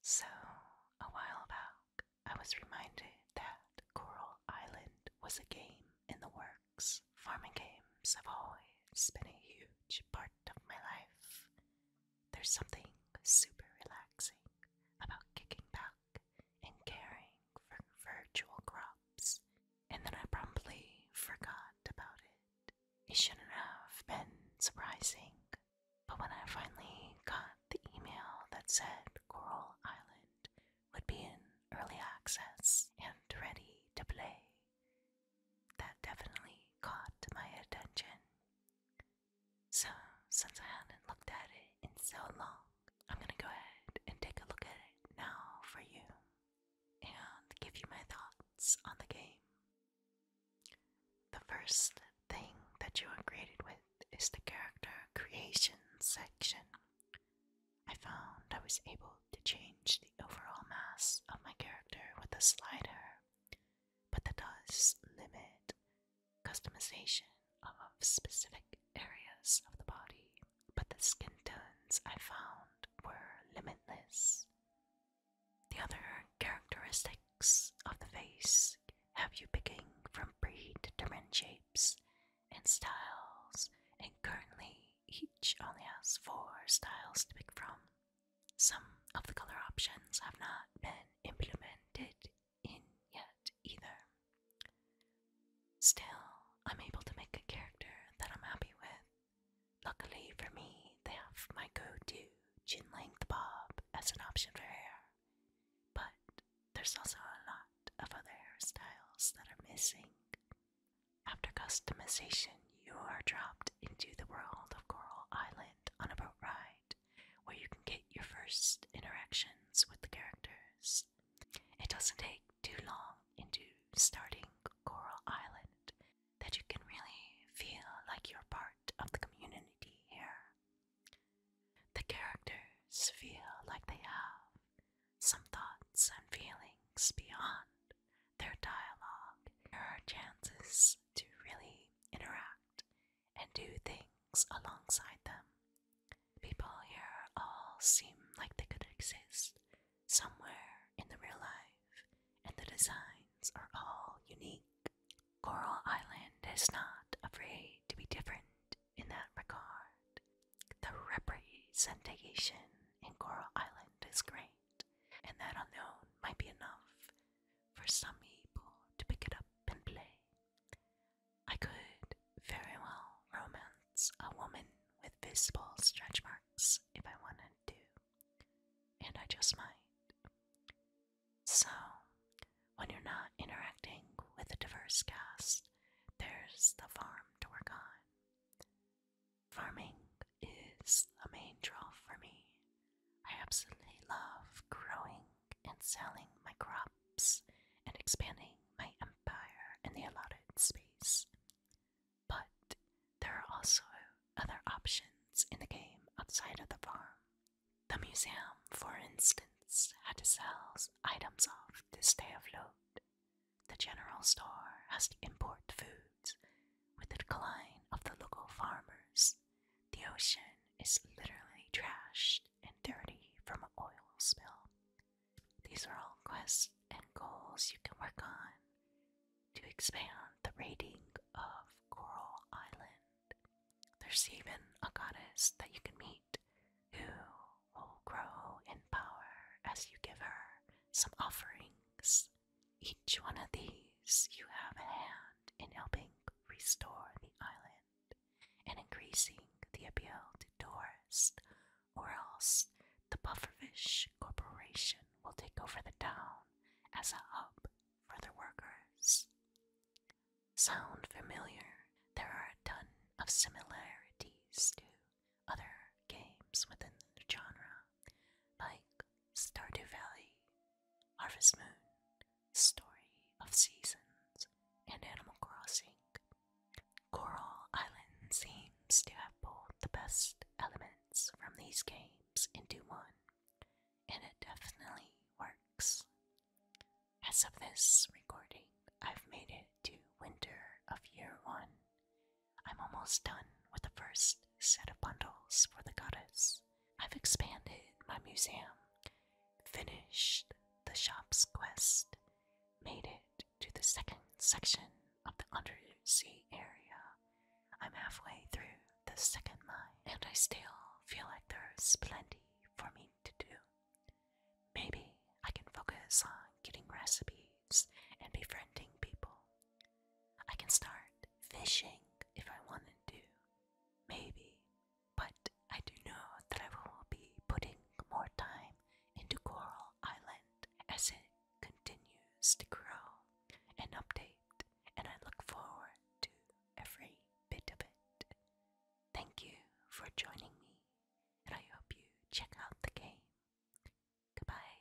So, a while back, I was reminded that Coral Island was a game in the works. Farming games have always been a huge part of my life. There's something super relaxing about kicking back and caring for virtual crops, and then I promptly forgot about it. It shouldn't have been surprising but when I finally got the email that said Coral Island would be in early access and ready to play, that definitely caught my attention. So, since I have not looked at it in so long, I'm gonna go ahead and take a look at it now for you and give you my thoughts on the game. The first thing that you are graded with is the character creation section. I found I was able to change the overall mass of my character with a slider, but that does limit customization of specific areas of the body. But the skin tones I found were limitless. The other characteristics of the face have you picking from different shapes and styles, and currently each only has four styles to pick from. Some of the color options have not been implemented in yet either. Still, I'm able to make a character that I'm happy with Luckily for me, they have my go-to chin length bob as an option for hair, but there's also a lot of other hairstyles that are missing. After customization, you are dropped into the world of Coral Island on a boat ride where you can get your first interactions with the characters. It doesn't take too long into starting Coral Island that you can really feel like you're part of the community here. The characters feel like they have some thoughts and feelings beyond their dialogue. There are chances to really interact and do things alongside them. People here all seem like they could exist somewhere in the real life, and the designs are all unique. Coral Island is not afraid to be different in that regard. The representation in Coral Island is great, and that unknown might be enough for some people to pick it up and play. I could very well romance a woman with visible stretch marks if I wanted to, and I just might. So, when you're not interacting with a diverse cast, there's the farm to work on. Farming is a main draw for me. I absolutely love growing and selling my crops and expanding my empire and the allotted space. But there are also other options in the game outside of the farm. The museum, for instance, has to sell items off to stay afloat. The general store has to import foods. With the decline of the local farmers, the ocean is literally trashed and dirty from an oil spill. These are all quests and goals you can work on to expand the rating of Coral Island. There's even a goddess that you can meet who will grow in power as you give her some offerings. Each one of these you have a hand in helping restore the island and increasing the appeal to tourists, or else the Bufferfish Corporation will take over the town as a hub for their workers. Sound familiar? There are a ton of similarities to other games within the genre, like Stardew Valley, Harvest Moon, Story of Seasons, and Animal Crossing. Coral Island seems to have pulled the best elements from these games into one, and it definitely works. As of this recording, I've made it to winter of year one. I'm almost done with the first set of bundles for the goddess. I've expanded my museum finished the shop's quest, made it to the second section of the undersea area. I'm halfway through the second line, and I still feel like there's plenty for me to do. Maybe I can focus on getting recipes and befriending people. I can start fishing if I want to. Maybe but I do know that I will be putting more time into Coral Island as it continues to grow and update, and I look forward to every bit of it. Thank you for joining me, and I hope you check out the game. Goodbye.